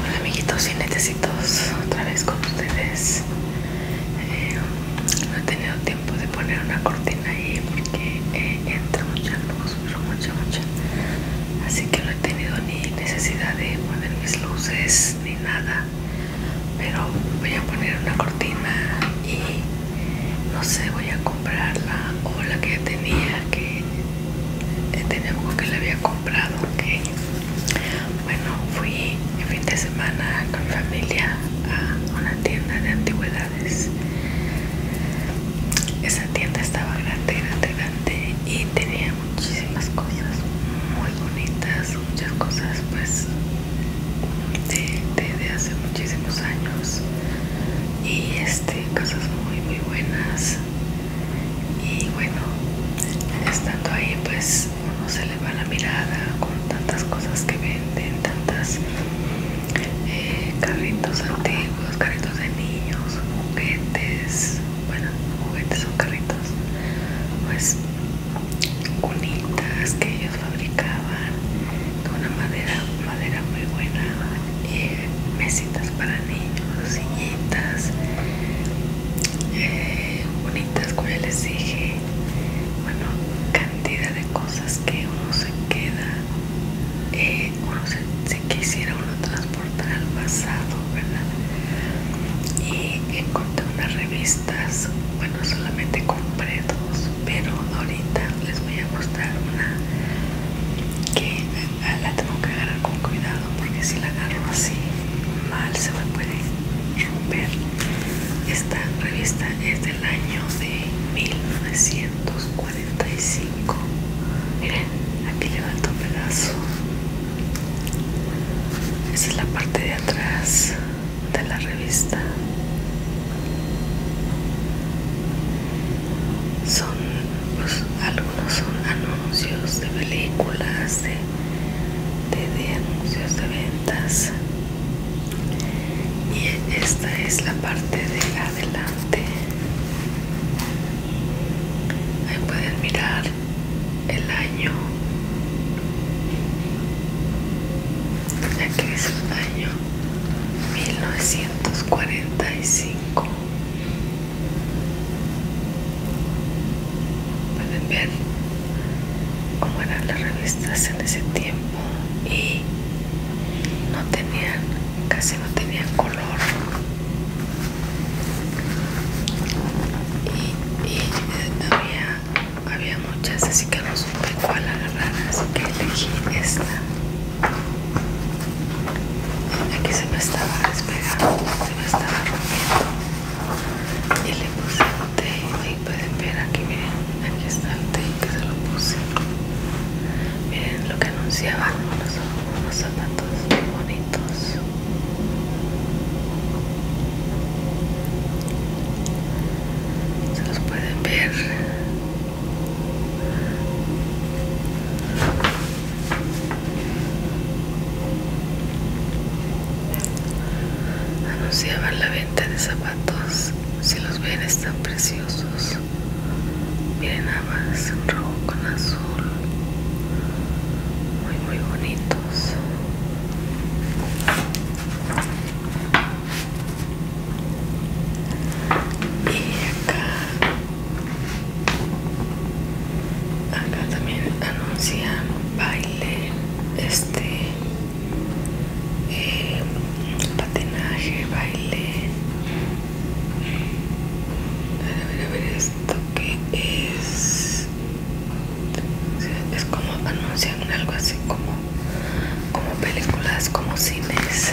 Hola amiguitos y necesitos otra vez con ustedes No eh, he tenido tiempo de poner una cortina ahí porque eh, entra mucha luz, mucha, mucha Así que no he tenido ni necesidad de poner mis luces ni nada Pero voy a poner una cortina y no sé, voy a comprarla o la que ya tenía que eh, tenía algo que le había comprado que bueno fui el fin de semana con mi familia a una tienda de antigüedades esa tienda estaba grande grande grande y tenía muchísimas cosas muy bonitas muchas cosas pues de, de hace muchísimos años y este cosas muy muy buenas y bueno estando ahí pues uno se le va la mirada con tantas cosas que venden tantas eh, carritos antiguos carritos de niños juguetes bueno juguetes son carritos pues cunitas que ellos fabricaban de una madera madera muy buena eh, mesitas para niños, sillitas eh, bonitas, como ya les dije. Bueno, cantidad de cosas que uno se queda, eh, uno se, quisiera uno transportar al pasado, ¿verdad? Y encontré unas revistas, bueno, solamente compré dos, pero ahorita les voy a mostrar una que Ah, la tengo que agarrar con cuidado porque si la agarro así mal se me puede romper esta revista es del año de 1945 miren aquí levanto un pedazo esa es la parte de atrás de la revista son pues, algunos son anuncios de películas, de, anuncios de ventas. Y esta es la parte de adelante. Ahí pueden mirar el año. Aquí es el año 1945. Pueden ver cómo eran las revistas en ese tiempo y no tenían, casi no tenían color. Y, eh, había, había muchas, así que no supe cuál agarrar, así que elegí esta aquí se me estaba despegando, se me estaba rompiendo y le puse el té y pueden ver aquí, miren, aquí está el té que se lo puse miren lo que anunciaba, unos, unos zapatos muy bonitos se los pueden ver Anunciaban la venta de zapatos. Si los ven están preciosos. Miren nada más, rojo con azul. Muy muy bonitos. Acá también anuncian baile, este eh, patinaje, baile. A ver, a ver esto que es. Es como anuncian algo así como, como películas, como cines.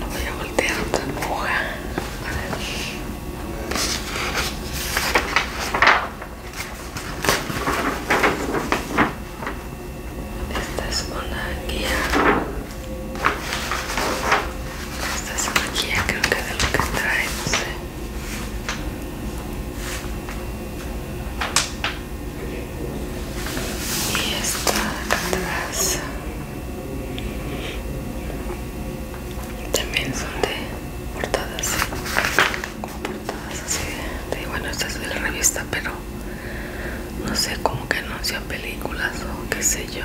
No voy a voltear otra hoja. Esta es una guía. Esta es una guía, creo que de lo que trae, no sé y esta atrás también son de portadas ¿eh? como portadas así bueno esta es de la revista pero no sé como que anuncia películas o qué sé yo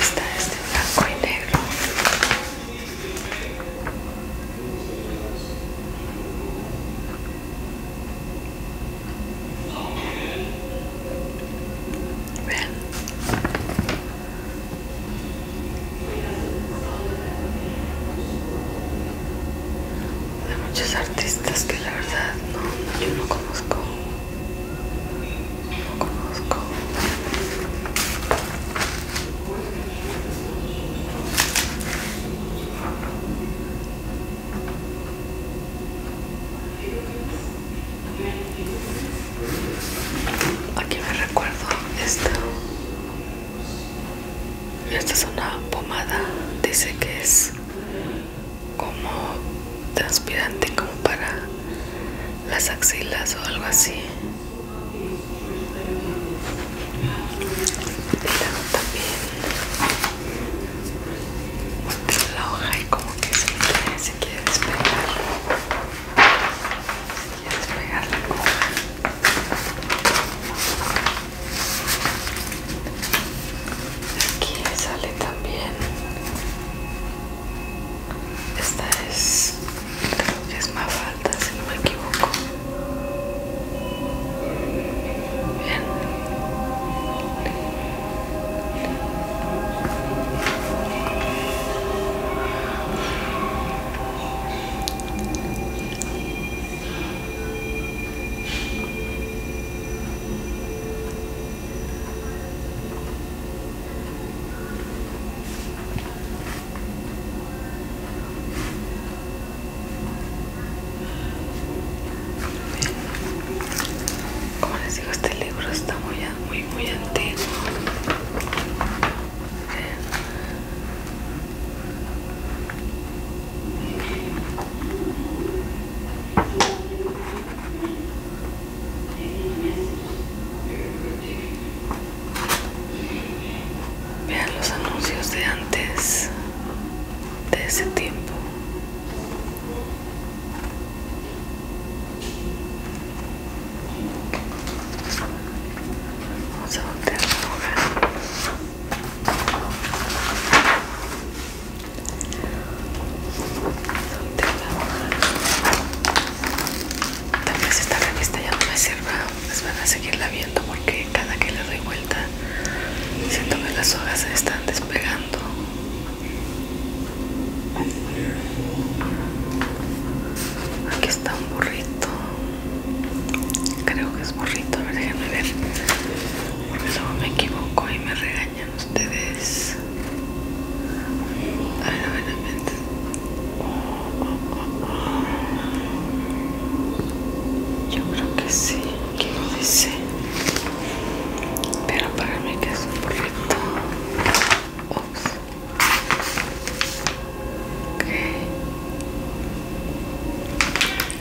Está este blanco y negro. Vean de muchos artistas que la verdad no, no yo no conozco no conozco Aquí me recuerdo esta. Esta es una pomada, dice que es como transpirante como para las axilas o algo así y luego también la hoja y como que se quiere, despegar se quiere despegar la hoja Aquí sale también. Esta es, es más falta, si no me equivoco. Como les digo, este libro está muy, muy, muy antiguo. Vean los anuncios de antes de ese tiempo. Vamos a Tal vez esta revista ya no me sirva, pues van a seguirla viendo porque cada que le doy vuelta siento que las hojas se están despegando. Aquí está un burrito, creo que es burrito, a ver déjenme ver, porque luego me equivoco y me regaño ustedes Yo creo que sí, dice. Pero para mí que es un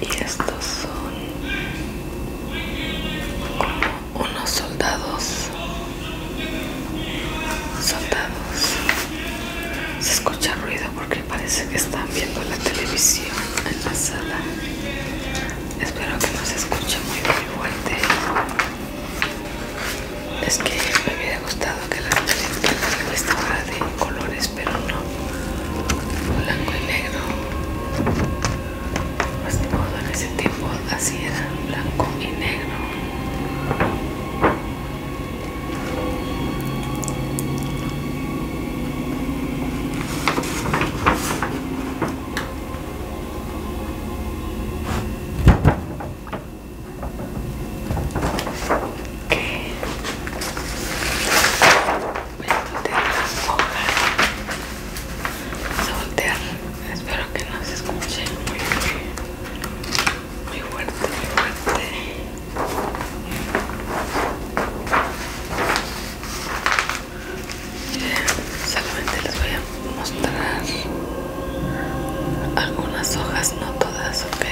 y estos son como unos soldados soldados se escucha ruido porque parece que están viendo la televisión en la sala espero que no se escuche muy muy fuerte es que me hubiera gustado que la, televisión estuviera de colores pero no blanco y negro pues de en ese tiempo así era, blanco y negro a de las hojas. a voltear. Espero que no se escuche muy fuerte, muy fuerte. Solamente les voy a mostrar algunas hojas, no todas, ok.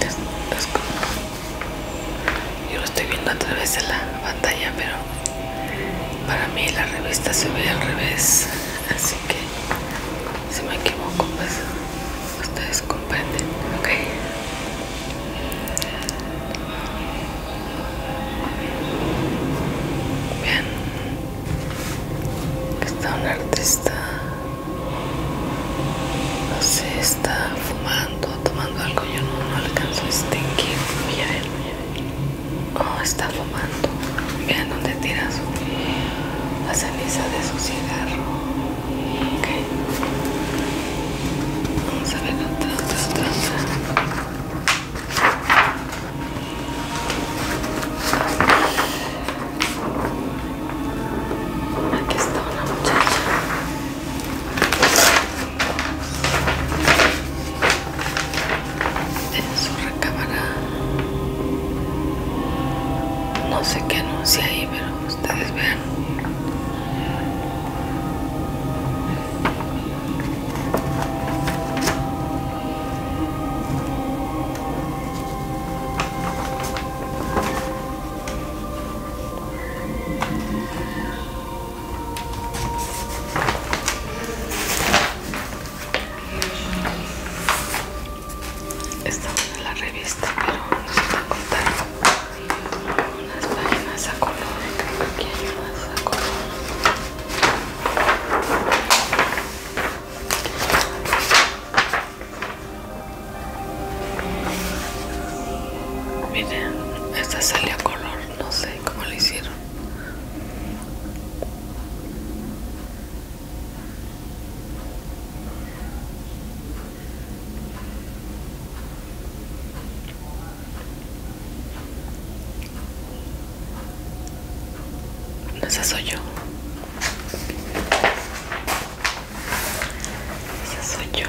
Las es como yo lo estoy viendo a través de la pantalla, pero para mí la revista se ve al revés, así que si me equivoco, pues ustedes comprenden, ¿ok? Bien, aquí está un artista, no sé, está fumando tomando, algo, yo no, no alcanzo este que voy a ver, voy a ver. Oh, está fumando, vean dónde tira su, la ceniza de su cigarro, ok, vamos a ver otra, otra, aquí está una muchacha en su no sé qué anuncia ahí pero ustedes vean Estamos en la revista, pero no se está contando unas páginas a color. Aquí hay unas a color. Miren, esta salió a color, no sé cómo le hicieron. soy yo. Esa soy yo.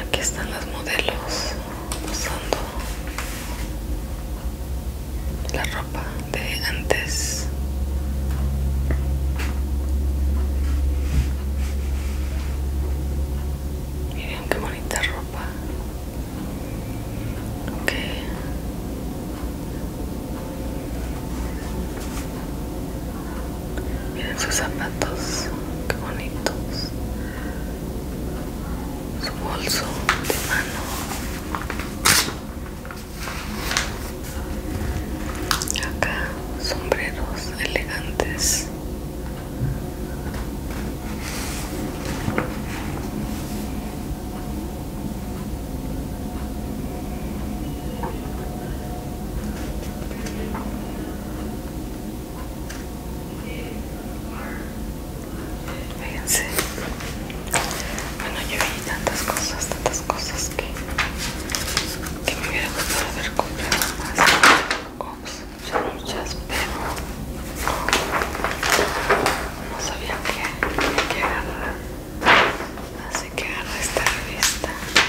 Aquí están los modelos usando la ropa de antes. Miren qué bonita ropa. Miren sus zapatos, qué bonitos. Su bolso de mano. Acá sombreros elegantes. Fíjense. Bueno, yo vi tantas cosas, tantas cosas que, me hubiera gustado haber comprado más. Ops, ya muchas, pero no sabía que, que agarrar. Así que agarré esta revista.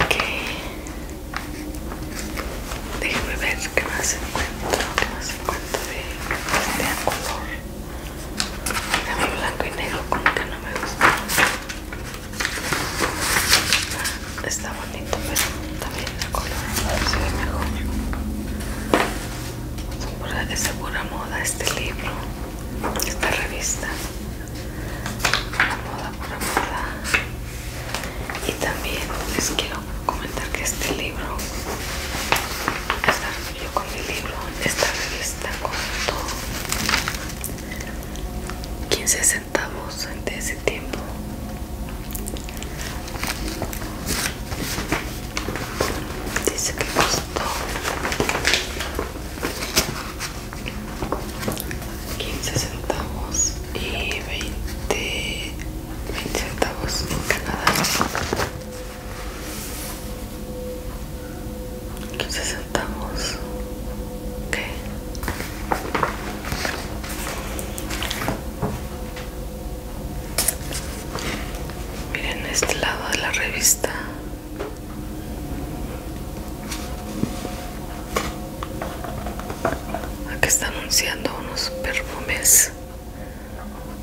Ok, déjeme ver qué más encuentro, qué más encuentro de este color. Dame blanco y negro, como que no me gusta está bonito pero también el color se ve mejor es de pura moda este libro esta revista pura moda pura moda y también les quiero comentar que este libro esta, yo con mi libro esta revista costó 15 centavos de ese tiempo Dice que costó 15 centavos y 20, centavos en Canadá. centavos. Miren este lado de la revista. Aquí está anunciando unos perfumes.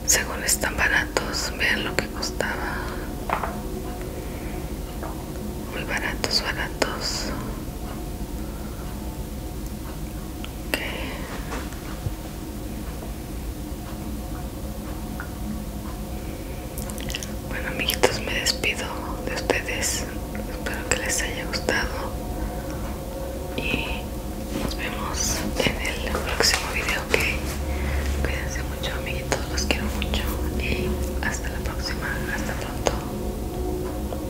Según están baratos, vean lo que costaba. Muy baratos, baratos. Bueno amiguitos me despido de ustedes Espero que les haya gustado Y nos vemos en el próximo video Cuídense mucho amiguitos, los quiero mucho Y hasta la próxima, hasta pronto